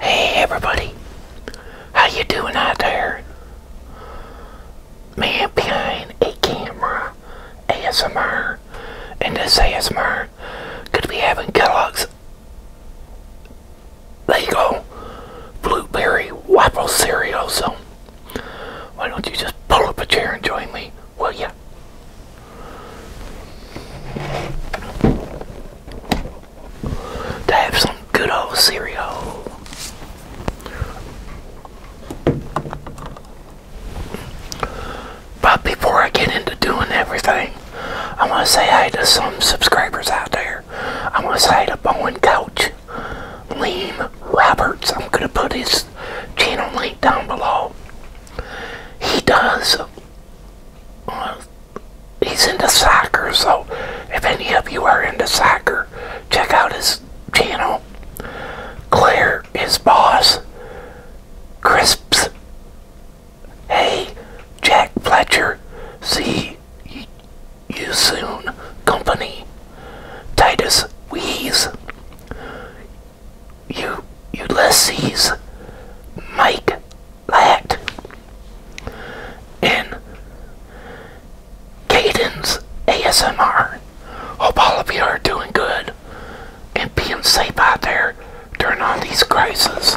Hey everybody, how you doing out there? Man behind a camera, ASMR, and this ASMR could be having There you go, Blueberry Waffle Cereal, so why don't you just pull up a chair and join me, will ya? to have some good old cereal. But before I get into doing everything, I want to say hi to some subscribers out there. I want to say hi to Bowen Couch, Liam Roberts. I'm going to put his channel link down below. He does he's into soccer, so if any of you are into soccer, check out his channel. Claire, his boss, Crisps, Hey, Jack Fletcher, see you soon, company, Titus Weeze, you, Ulysses Mike Matt, and Cadence ASMR. Hope all of you are doing good and being safe out there during all these crises.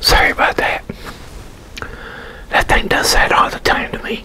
Sorry about that. That thing does that all the time to me.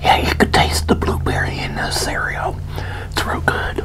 Yeah, you could taste the blueberry in the cereal. It's real good.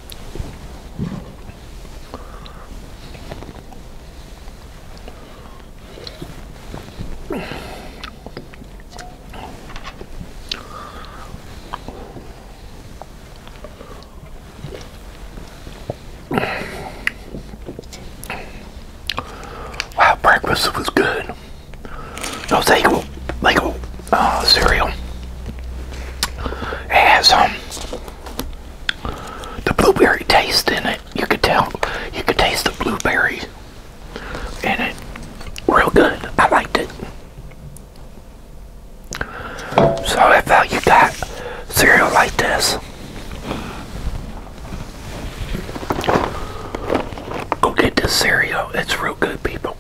Wow, breakfast was good. No, they go, they go uh, cereal has um the blueberry taste in it. You could tell you could taste the blueberries in it. Real good. I liked it. So if uh, you got cereal like this, go get this cereal. It's real good, people.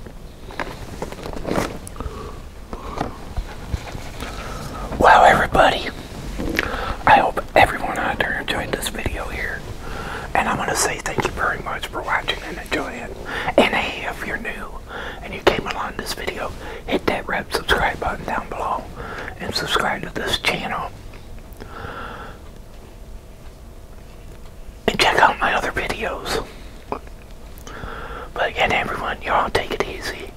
Wow, everybody, I hope everyone out there enjoyed this video here. And I want to say thank you very much for watching and enjoying it. And hey, if you're new and you came along this video, hit that red subscribe button down below and subscribe to this channel. And check out my other videos. But again, everyone, y'all take it easy.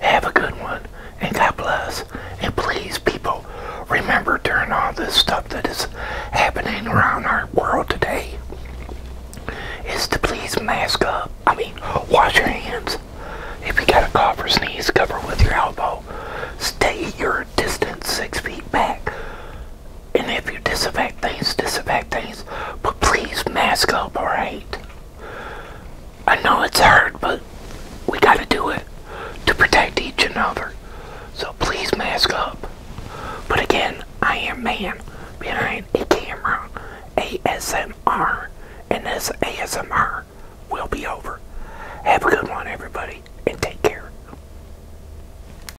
Have a good one. And God bless. And please, people, remember during all this stuff that is happening around our world today is to please mask up. I mean, wash your hands. If you got a cough or sneeze, cover with your elbow. Stay your distance six feet back. And if you disinfect things, disinfect things. But please mask up, alright? I know it's hard, but we gotta do it to protect each other. So please mask up. But again, I am man behind a camera. ASMR. And this ASMR will be over. Have a good one, everybody, and take care.